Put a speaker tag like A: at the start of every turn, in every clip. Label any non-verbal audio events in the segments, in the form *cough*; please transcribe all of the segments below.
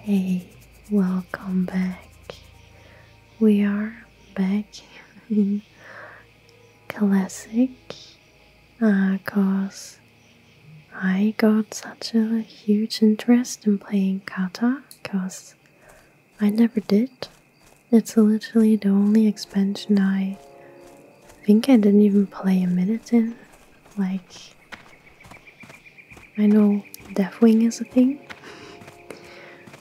A: Hey, welcome back. We are back in Classic because uh, I got such a huge interest in playing Kata because I never did. It's literally the only expansion I think I didn't even play a minute in. Like, I know wing is a thing,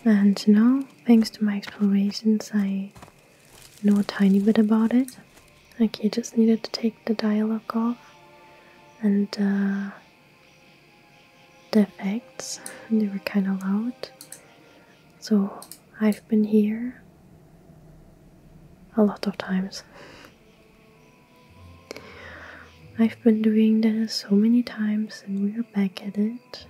A: and now, thanks to my explorations, I know a tiny bit about it. Like, you just needed to take the dialogue off and uh, the effects, they were kind of loud. So, I've been here a lot of times. I've been doing this so many times and we're back at it.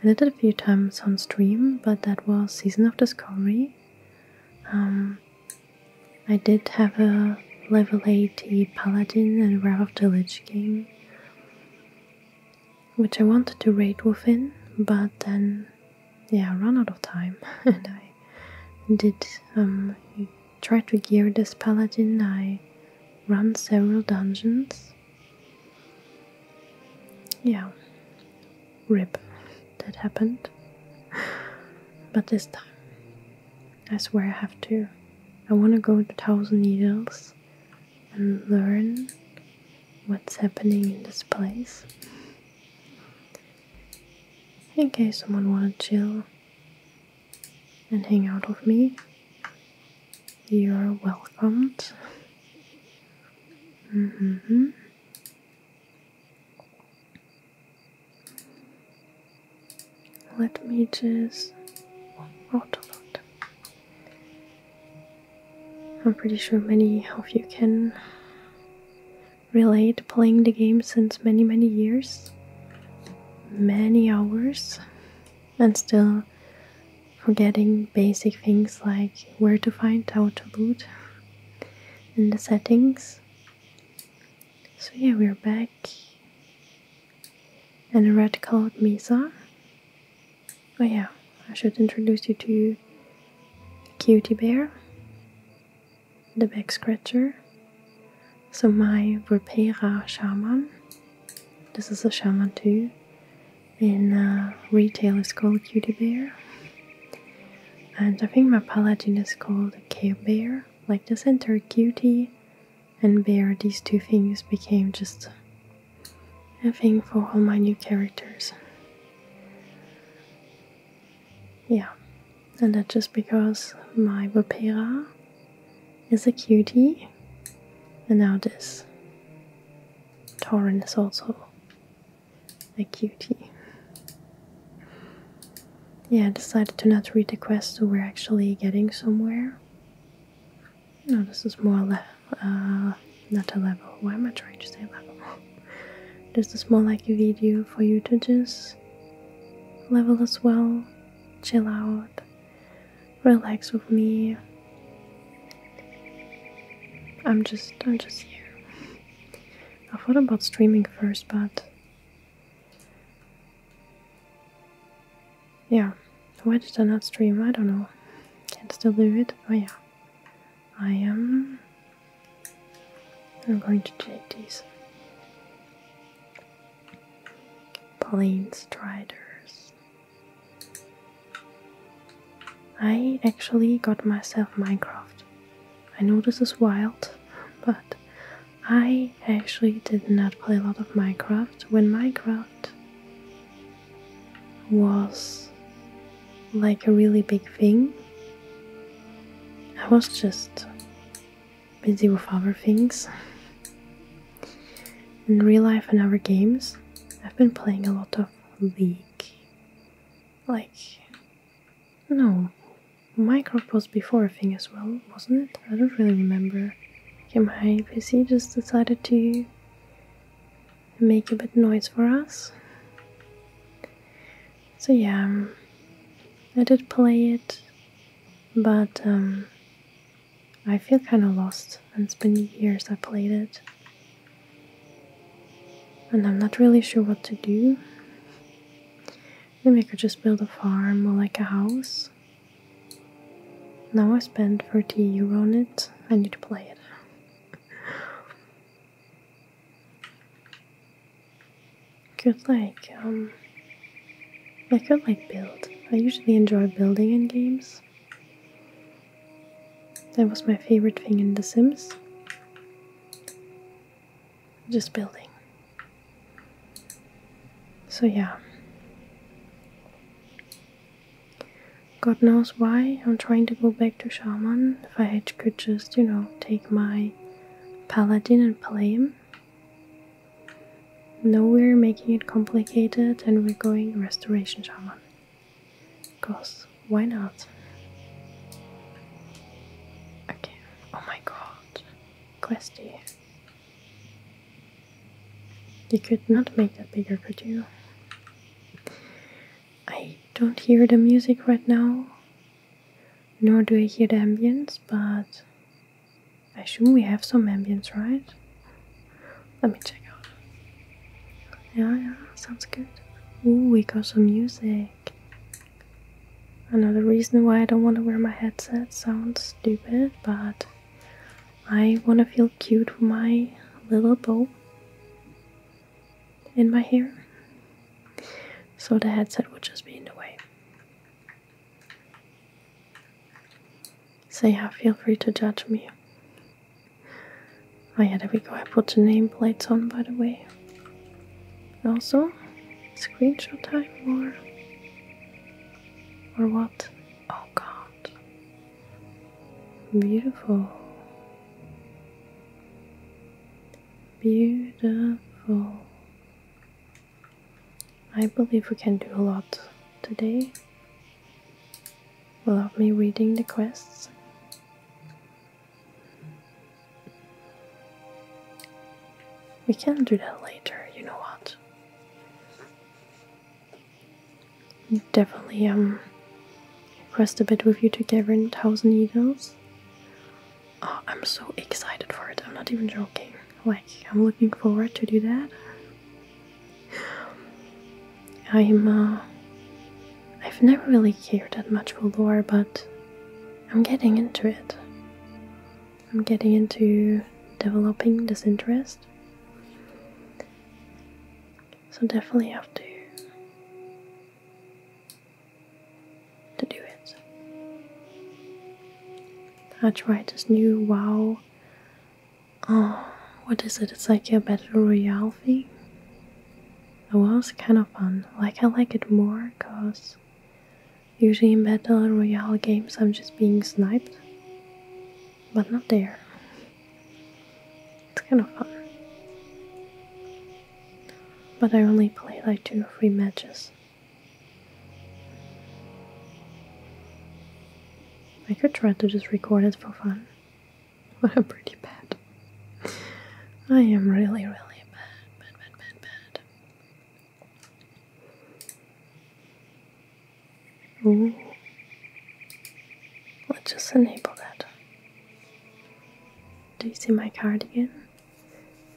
A: I did it a few times on stream, but that was Season of Discovery. Um, I did have a level 80 Paladin and Wrath of the Lich King, which I wanted to raid within, but then yeah run out of time *laughs* and mm-hmm. I did um, try to gear this paladin I ran several dungeons yeah rip that happened *laughs* but this time I swear I have to I want to go to Thousand Needles and learn what's happening in this place in case someone wants to chill and hang out with me. You're welcomed. Mm-hmm. Let me just autoload. I'm pretty sure many of you can relate playing the game since many many years many hours and still forgetting basic things like where to find how to loot in the settings so yeah we're back and a red colored mesa oh yeah i should introduce you to cutie bear the back scratcher. So my Vulpera Shaman, this is a Shaman too, in uh, retail is called Cutie Bear. And I think my Paladin is called Care Bear. Like the center Cutie and Bear, these two things became just a thing for all my new characters yeah, and that's just because my Vipera is a cutie, and now this Tauren is also a cutie. Yeah, I decided to not read the quest, so we're actually getting somewhere. No, this is more le uh, not a level. Why am I trying to say level? This is more like a video for you to just level as well, chill out, relax with me. I'm just I'm just here. I thought about streaming first but yeah. Why did I not stream? I don't know. Can still do it, but oh, yeah. I am I'm going to take these plane striders. I actually got myself Minecraft. I know this is wild, *laughs* but I actually did not play a lot of Minecraft when Minecraft was like a really big thing I was just busy with other things. In real life and other games, I've been playing a lot of League. Like, no, Minecraft was before a thing as well, wasn't it? I don't really remember. Okay, my PC just decided to make a bit noise for us. So yeah, um, I did play it, but um, I feel kind of lost. And it's been years I played it, and I'm not really sure what to do. Maybe I could just build a farm or like a house. Now I spent 30 euro on it. I need to play it. *laughs* Could like um I could like build. I usually enjoy building in games. That was my favorite thing in The Sims. Just building. So yeah. God knows why I'm trying to go back to Shaman. If I had, could just, you know, take my Paladin and Palladium. No, we're making it complicated and we're going Restoration Shaman. Because why not? Okay. Oh my god. Questy. You could not make that bigger, could you? I don't hear the music right now nor do I hear the ambience, but I assume we have some ambience, right? Let me check out. Yeah, yeah, sounds good. Oh, we got some music. Another reason why I don't want to wear my headset sounds stupid, but I want to feel cute with my little bow in my hair, so the headset would just be in the way. So yeah, feel free to judge me. Oh yeah, there we go. I put the nameplates on, by the way. Also, screenshot time or or what? Oh god. Beautiful. Beautiful. I believe we can do a lot today without me reading the quests. We can do that later, you know what? Definitely um quest a bit with you together in Thousand Needles. Oh, I'm so excited for it. I'm not even joking. Like, I'm looking forward to do that. I'm, uh, I've never really cared that much for lore, but I'm getting into it. I'm getting into developing this interest. So definitely have to to do it. I tried this new WoW. Oh, what is it? It's like a battle royale thing. It was kind of fun. Like I like it more because usually in battle royale games I'm just being sniped, but not there. It's kind of fun. But I only played like two or three matches I could try to just record it for fun, but *laughs* I'm pretty bad. I am really, really bad, bad, bad, bad, Let's just enable that. Do you see my card again?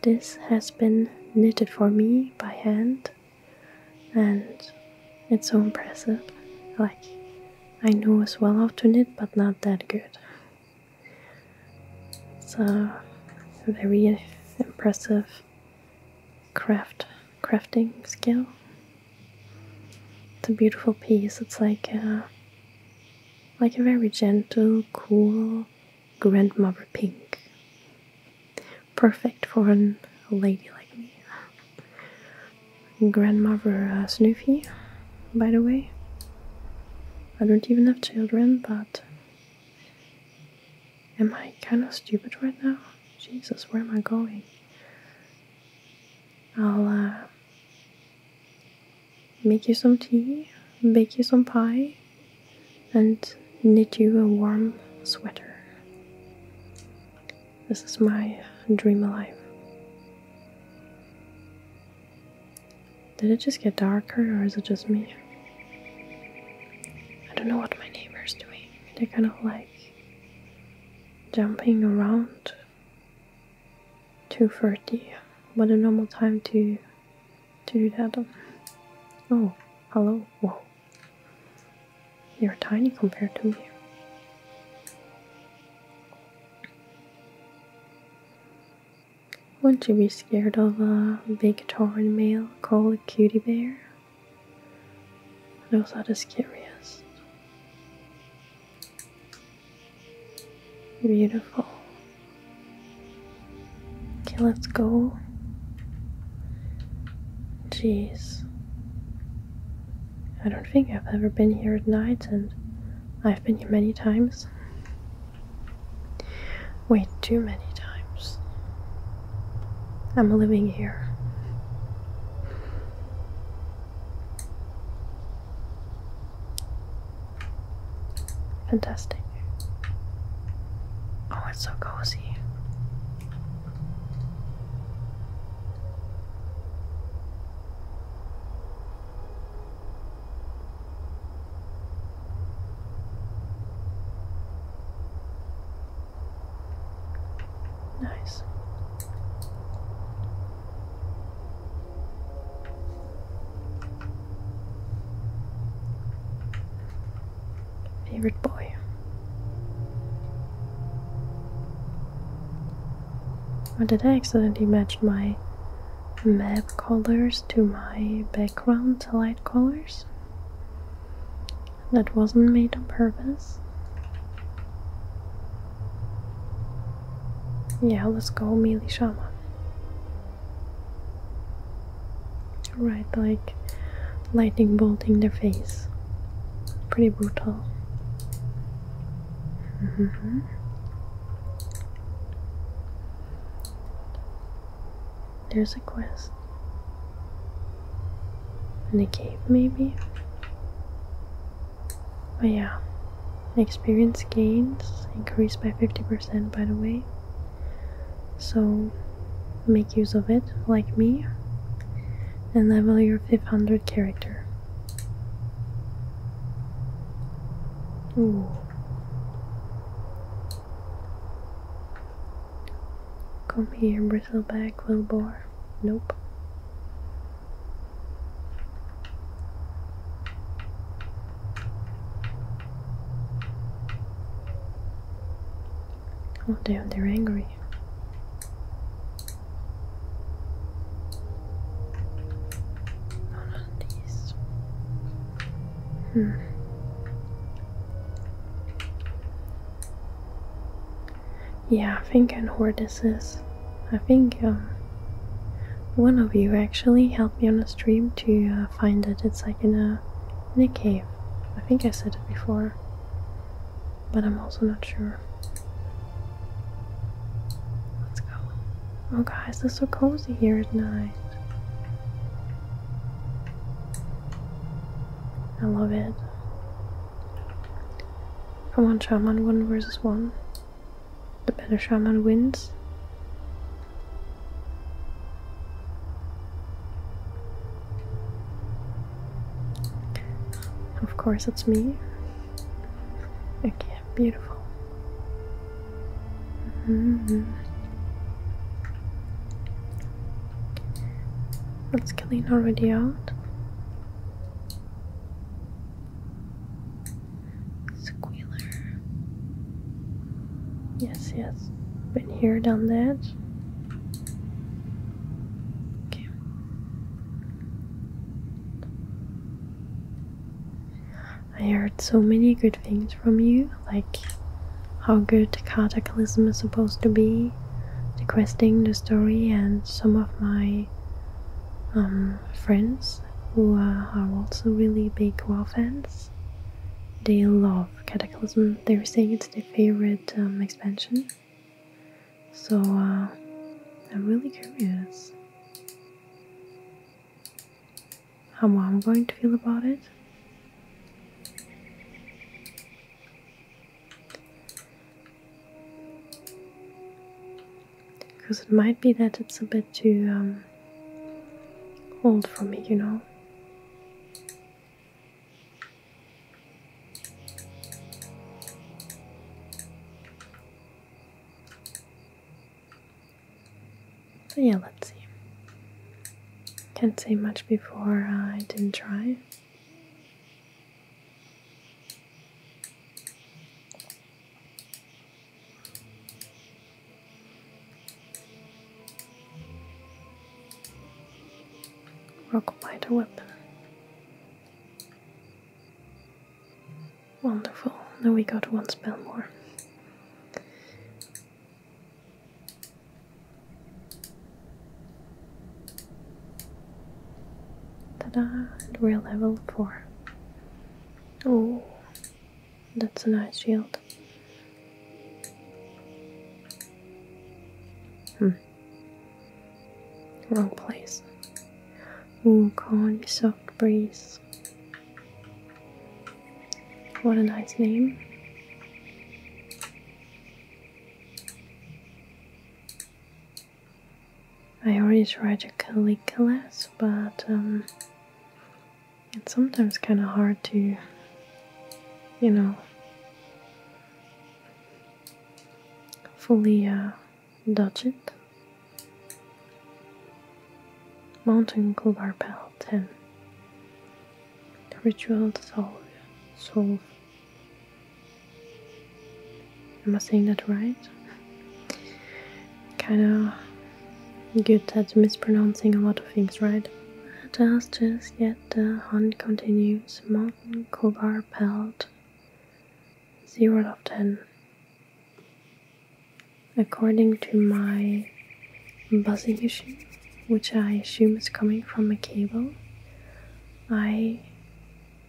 A: This has been knitted for me by hand, and it's so impressive. Like, I know as well how to knit, but not that good. It's a very impressive craft crafting skill. It's a beautiful piece. It's like a like a very gentle, cool grandmother pink. Perfect for a lady like me. Grandmother uh, by the way. I don't even have children, but am I kind of stupid right now? Jesus, where am I going? I'll uh, make you some tea, bake you some pie, and knit you a warm sweater. This is my dream alive. Did it just get darker, or is it just me? I don't know what my neighbor's doing. They're kind of like jumping around 2.30 what a normal time to to do that on. Oh, hello, whoa. You're tiny compared to me. Wouldn't you be scared of a big torrid male called a cutie bear? I Those are the curious. Beautiful. Okay, let's go. Jeez. I don't think I've ever been here at night and I've been here many times. Way too many times. I'm living here. Fantastic. Oh, it's so cozy. Nice. Favorite boy. Or did I accidentally match my map colors to my background light colors? That wasn't made on purpose. Yeah, let's go Mealy Shama. Right, like lightning bolt in their face. Pretty brutal. Mm-hmm. There's a quest. In the cave, maybe? But yeah. Experience gains increased by 50% by the way. So make use of it, like me, and level your 500 character. Come here, bristleback, Wilbur. Nope. Oh damn, they're angry. None of these. Hmm. Yeah, I think I know where this is. I think um, one of you actually helped me on a stream to uh, find it. It's like in a in a cave. I think I said it before, but I'm also not sure. Let's go. Oh guys, it's so cozy here at night. I love it. Come on, Shaman, one versus one. The better Shaman wins. Of course, it's me. Okay, beautiful. Mm -hmm. That's Kaline already out. Squealer. Yes, yes. Been here, done that. Okay. I heard so many good things from you, like how good Cataclysm is supposed to be, the questing, the story, and some of my um, friends who are also really big WoW fans they love Cataclysm. They were saying it's their favorite um, expansion. So uh, I'm really curious how I'm going to feel about it. Because it might be that it's a bit too um, hold for me, you know. So yeah, let's see. Can't say much before I didn't try. Rock light a weapon. Wonderful. Now we got one spell more. Ta-da! And we're level four. Oh, that's a nice shield. Hmm. Wrong place. Oh, corn, soft breeze. What a nice name. I already tried to Calicalas, but um, it's sometimes kind of hard to, you know, fully uh, dodge it. Mountain Kubar Pal 10 Ritual Solve. solve. Am I saying that right? kind of good at mispronouncing a lot of things, right? Just, just yet the hunt continues. Mountain Kobar pelt. 0 of 10. According to my buzzing issue, which I assume is coming from a cable, I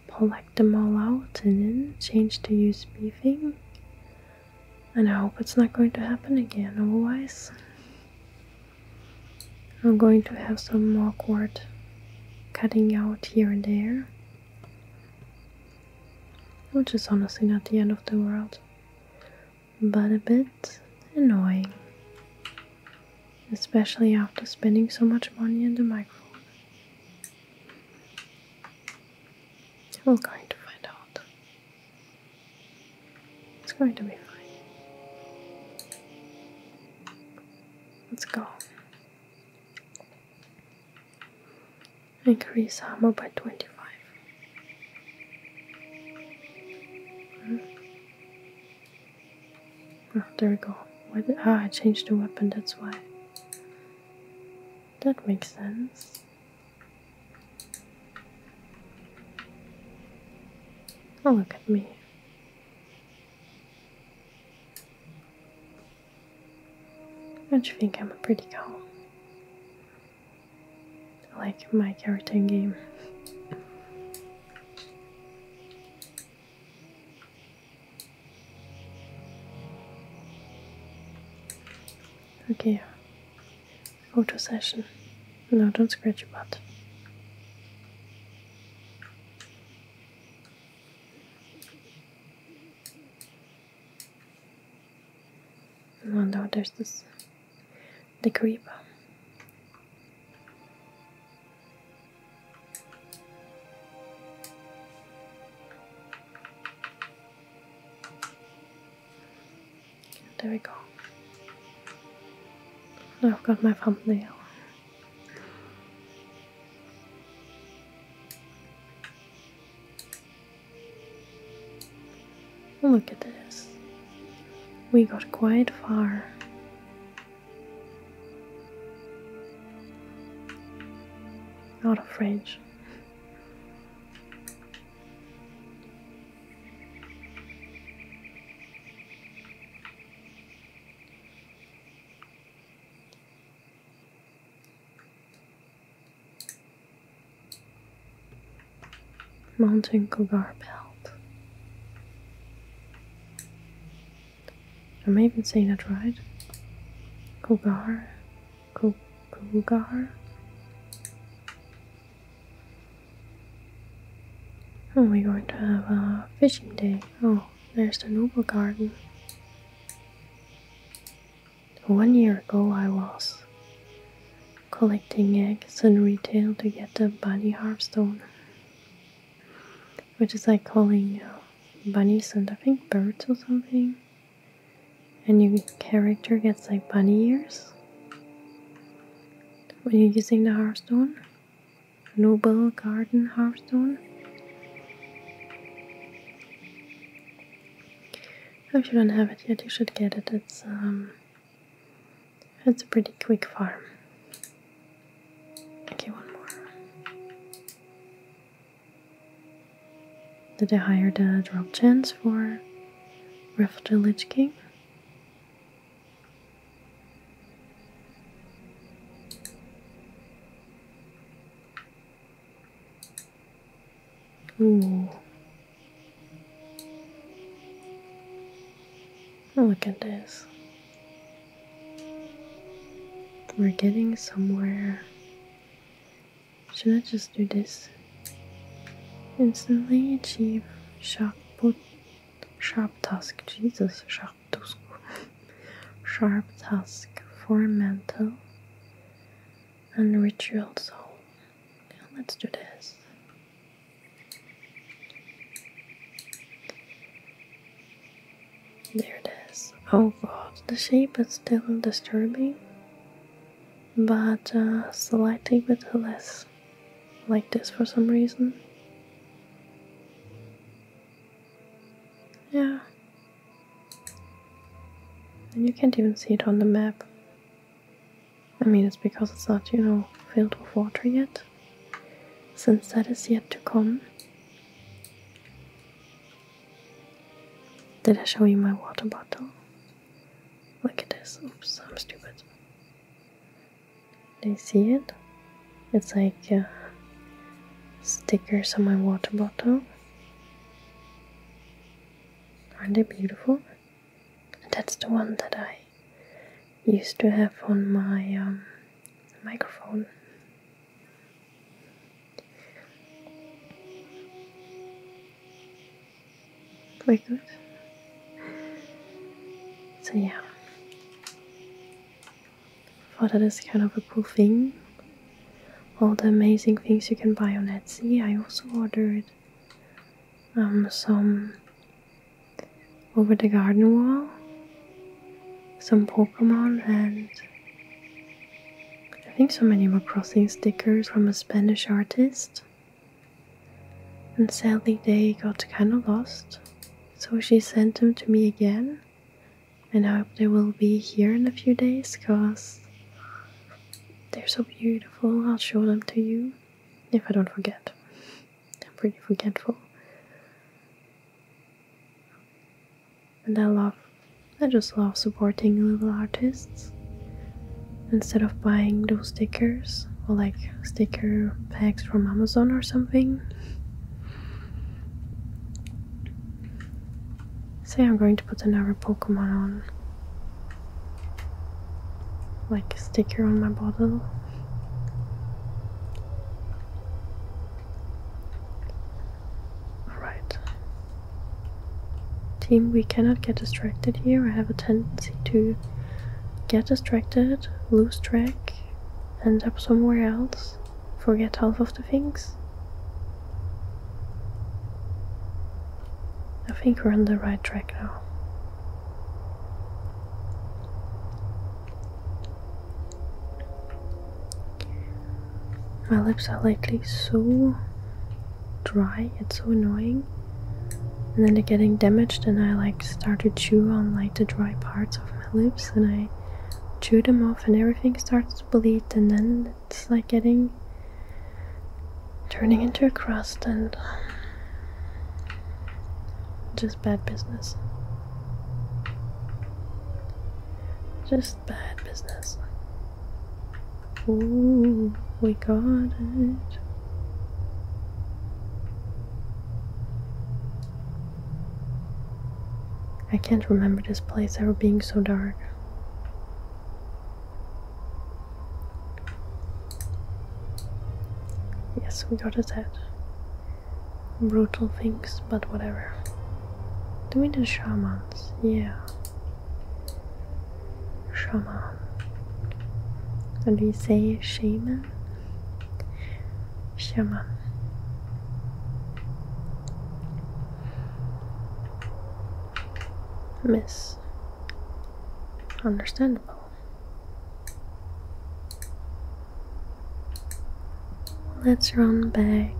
A: plucked them all out and then change to USB thing and I hope it's not going to happen again, otherwise, I'm going to have some awkward cutting out here and there. Which is honestly not the end of the world, but a bit annoying. Especially after spending so much money on the microphone. I'm going to find out. It's going to be fine. Let's go. Increase armor by 25. Hmm. Oh, there we go. Did, ah, I changed the weapon, that's why. That makes sense. Oh, look at me. Don't you think I'm a pretty girl? Like my character in game. okay photo session. No, don't scratch your butt. Oh no, there's this the creeper. There we go. I've got my thumbnail. Look at this. We got quite far. Out of range. Mountain Cougar Belt. Am I even saying that right? Cougar Kogar. Oh, we're going to have a fishing day. Oh, there's the Noble Garden. One year ago, I was collecting eggs in retail to get the bunny harpstone, which is like calling uh, bunnies and I think birds or something and your character gets like bunny ears when you're using the hearthstone noble garden hearthstone if you don't have it yet you should get it it's um it's a pretty quick farm okay one more did I hire the drop chance for Rift Lich King. Ooh. Oh, look at this. We're getting somewhere should I just do this? Instantly achieve sharp put sharp task. Jesus, sharp task. *laughs* sharp task for mental and ritual soul. let's do this. There it is. Oh god, the shape is still disturbing but uh, selecting with the like this for some reason. Yeah. And you can't even see it on the map. I mean, it's because it's not, you know, filled with water yet. Since that is yet to come. Did I show you my water bottle? Look at this. Oops, I'm stupid. Do you see it? It's like stickers on my water bottle. Aren't they beautiful? That's the one that I used to have on my um, microphone. Very good. So yeah. I thought that is kind of a cool thing. All the amazing things you can buy on Etsy. I also ordered um, some over the garden wall, some Pokemon, and I think some Animal Crossing stickers from a Spanish artist. And sadly, they got kind of lost, so she sent them to me again. And I hope they will be here in a few days because they're so beautiful. I'll show them to you if I don't forget. I'm pretty forgetful. And I love, I just love supporting little artists instead of buying those stickers or like sticker packs from Amazon or something. Say I'm going to put another Pokemon on, like sticker on my bottle. Alright, Team, we cannot get distracted here. I have a tendency to get distracted, lose track, end up somewhere else, forget half of the things. I think we're on the right track now. My lips are lightly so dry. It's so annoying. And then they're getting damaged, and I like start to chew on like the dry parts of my lips, and I chew them off, and everything starts to bleed, and then it's like getting turning into a crust, and just bad business. Just bad business. Ooh, we got it. I can't remember this place ever being so dark. Yes, we got his head. Brutal things, but whatever. Do we the shamans? Yeah shaman. What do you say, shaman? Shaman. Miss. Understandable. Let's run back.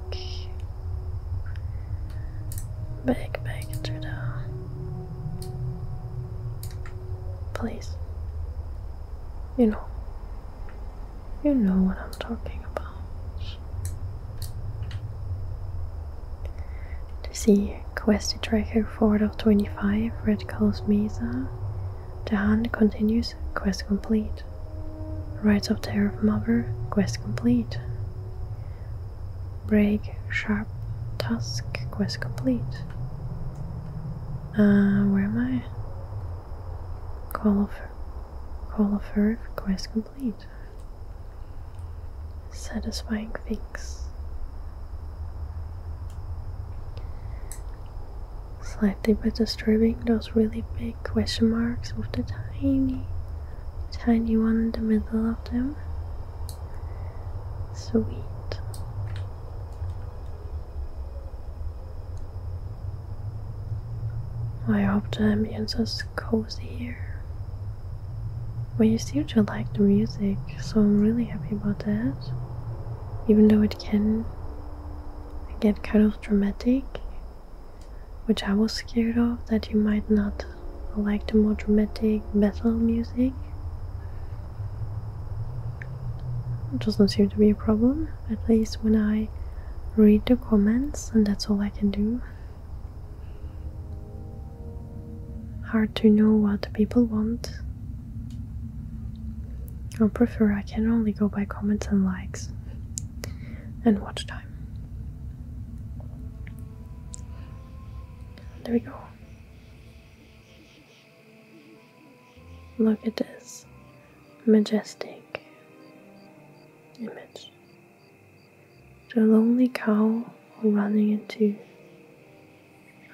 A: Back, back to the Please. You know. You know what I'm talking about. To see Quest Tracker 4 of 25, Red Calls Mesa. The hunt continues, quest complete. Rites of Terror of Mother, quest complete break sharp tusk quest complete uh, where am I? call of call of earth quest complete satisfying things slightly but disturbing those really big question marks with the tiny tiny one in the middle of them Sweet. I hope the ambience is cozy here. But you seem to like the music, so I'm really happy about that. Even though it can get kind of dramatic, which I was scared of that you might not I like the more dramatic metal music. It doesn't seem to be a problem, at least when I read the comments, and that's all I can do. Hard to know what people want. I prefer I can only go by comments and likes and watch time. There we go. Look at this majestic image. The lonely cow running into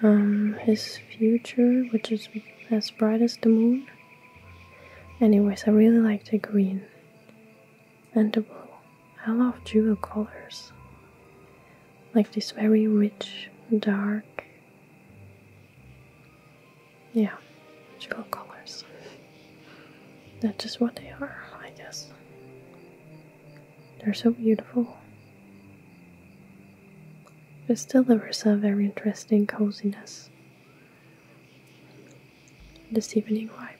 A: um, his future, which is as bright as the moon. Anyways, I really like the green and the uh, blue. I love jewel colors, like this very rich, dark, yeah, jewel colors. That's just what they are, I guess. They're so beautiful. It still delivers a very interesting coziness. This evening vibe.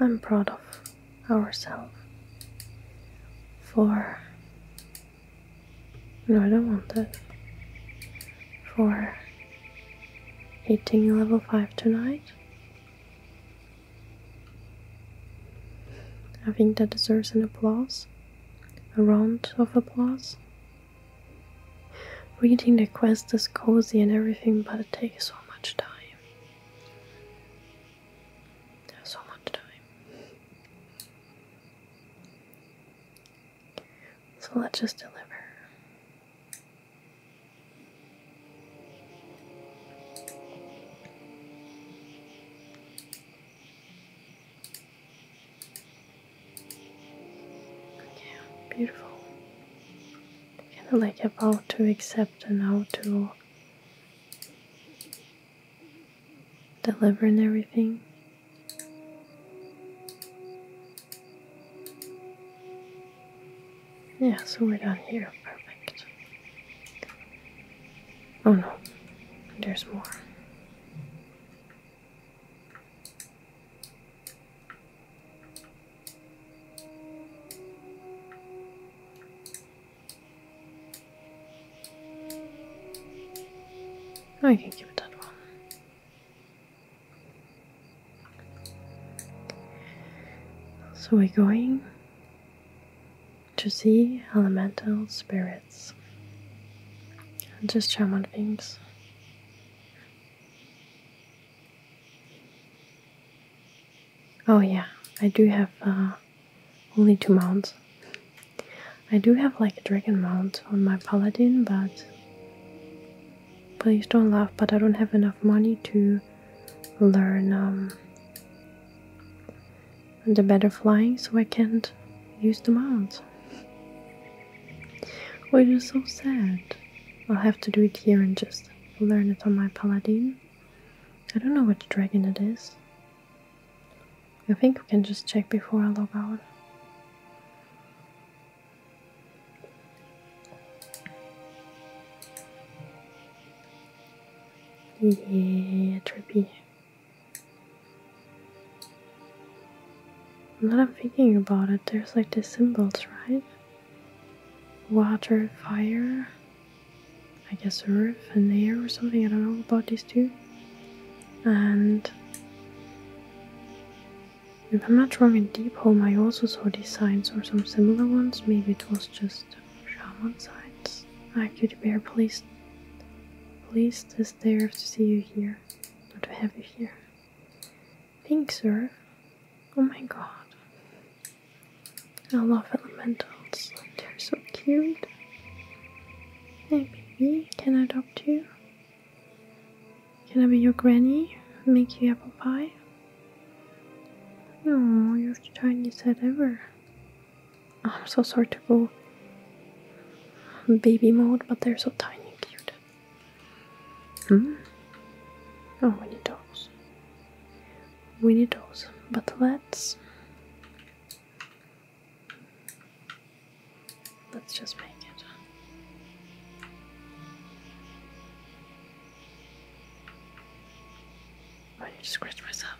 A: I'm proud of ourselves for no, I don't want that. For hitting level 5 tonight, I think that deserves an applause, a round of applause. Reading the quest is cozy and everything, but it takes so much time. So much time. So let's just deliver. Yeah, beautiful. Kind of like about to accept and now to deliver and everything. Yeah, so we're down here. Perfect. Oh no, there's more. Oh, I can give it that one. So we're going to see elemental spirits and just on things. Oh yeah, I do have uh, only two mounts. I do have like a dragon mount on my paladin, but please don't laugh, but I don't have enough money to learn um, and the better flying so I can't use the mount. Which is so sad. I'll have to do it here and just learn it on my paladin. I don't know which dragon it is. I think we can just check before I log out. Yeah, trippy. Now I'm thinking about it, there's like the symbols, right? Water, fire, I guess earth and air or something, I don't know about these two. And if I'm not wrong in Deep Home, I also saw these signs or some similar ones. Maybe it was just Shaman signs. Active bear police. Pleased as they are to see you here, or to have you here. Thanks, sir. Oh my god. I love elementals. They're so cute. Hey baby, can I adopt you? Can I be your granny? Make you apple pie? No, you're the tiniest head ever. Oh, I'm so sorry to go baby mode, but they're so tiny and cute. Hmm? Oh, we need those. We need those. But let's... Let's just make it. I just scratch myself.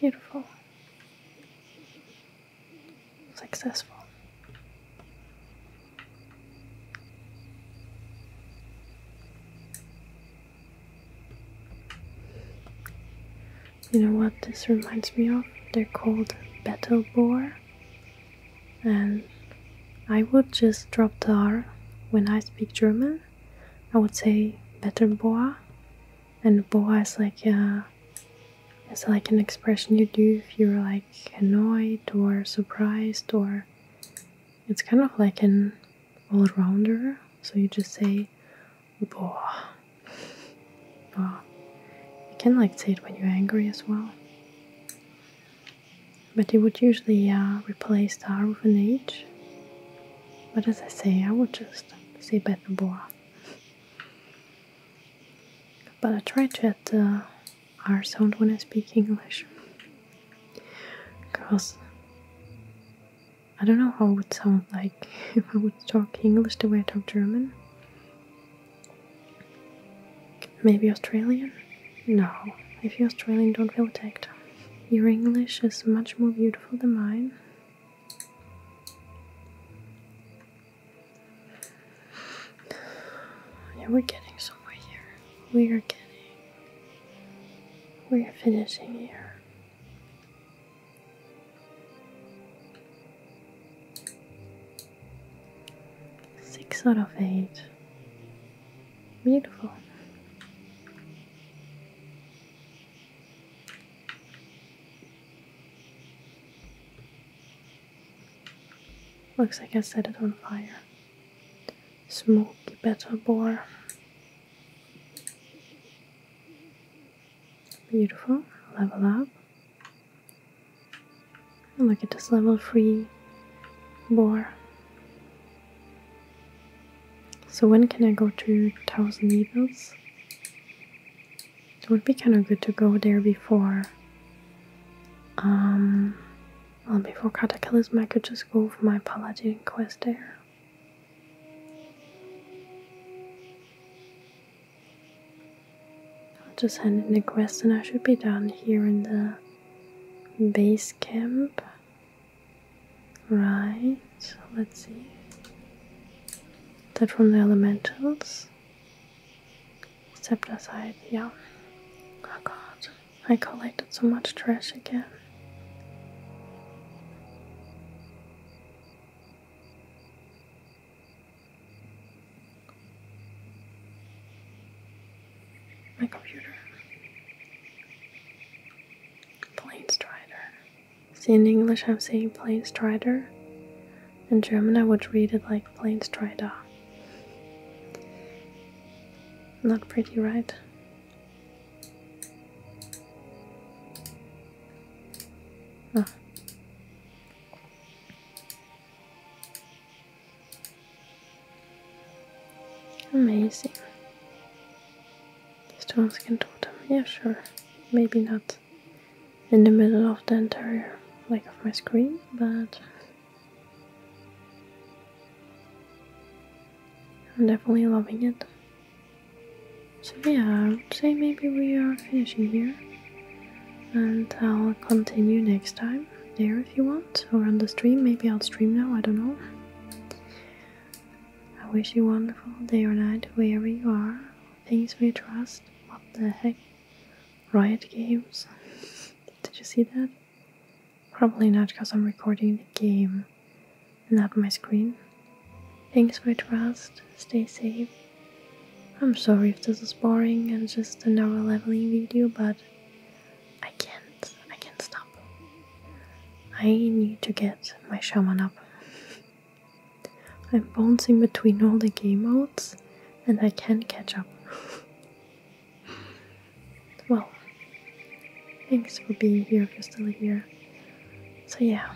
A: Beautiful. Successful. You know what this reminds me of? They're called battle boar and I would just drop the R when I speak German. I would say better boa, and boa is like a, uh, it's like an expression you do if you're like annoyed or surprised or it's kind of like an all-rounder. So you just say boa, You can like say it when you're angry as well. But you would usually uh, replace the R with an H. But as I say, I would just say Bethabora. But I try to add the uh, R sound when I speak English. Because I don't know how it would sound like *laughs* if I would talk English the way I talk German. Maybe Australian? No, if you're Australian, don't feel attacked. Your English is much more beautiful than mine. Yeah, we're getting somewhere here. We are getting. We are finishing here. Six out of eight. Beautiful. Looks like I set it on fire. Smoky better boar. Beautiful. Level up. And look at this level 3 boar. So when can I go to Thousand Needles? It would be kind of good to go there before. Um, well, before Cataclysm, my could to school for my Paladin quest there. I'll just hand in the quest and I should be down here in the base camp. Right, let's see. That from the elementals. Stepped aside, yeah. Oh god, I collected so much trash again. My computer. Plain Strider. See, in English I'm saying Plain Strider. In German I would read it like Plain Strider. Not pretty, right? Oh. Amazing. These stones can totem. Yeah, sure. Maybe not in the middle of the entire like of my screen, but I'm definitely loving it. So yeah, I would say maybe we are finishing here and I'll continue next time there if you want, or on the stream. Maybe I'll stream now, I don't know. I wish you a wonderful day or night wherever you are. Things we trust. What the heck? Riot games. *laughs* Did you see that? Probably not because I'm recording the game and not my screen. Things we trust. Stay safe. I'm sorry if this is boring and just another leveling video, but I can't, I can't stop. I need to get my shaman up. *laughs* I'm bouncing between all the game modes and I can't catch up. *laughs* well, thanks for being here if you still here. So yeah,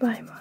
A: bye bye.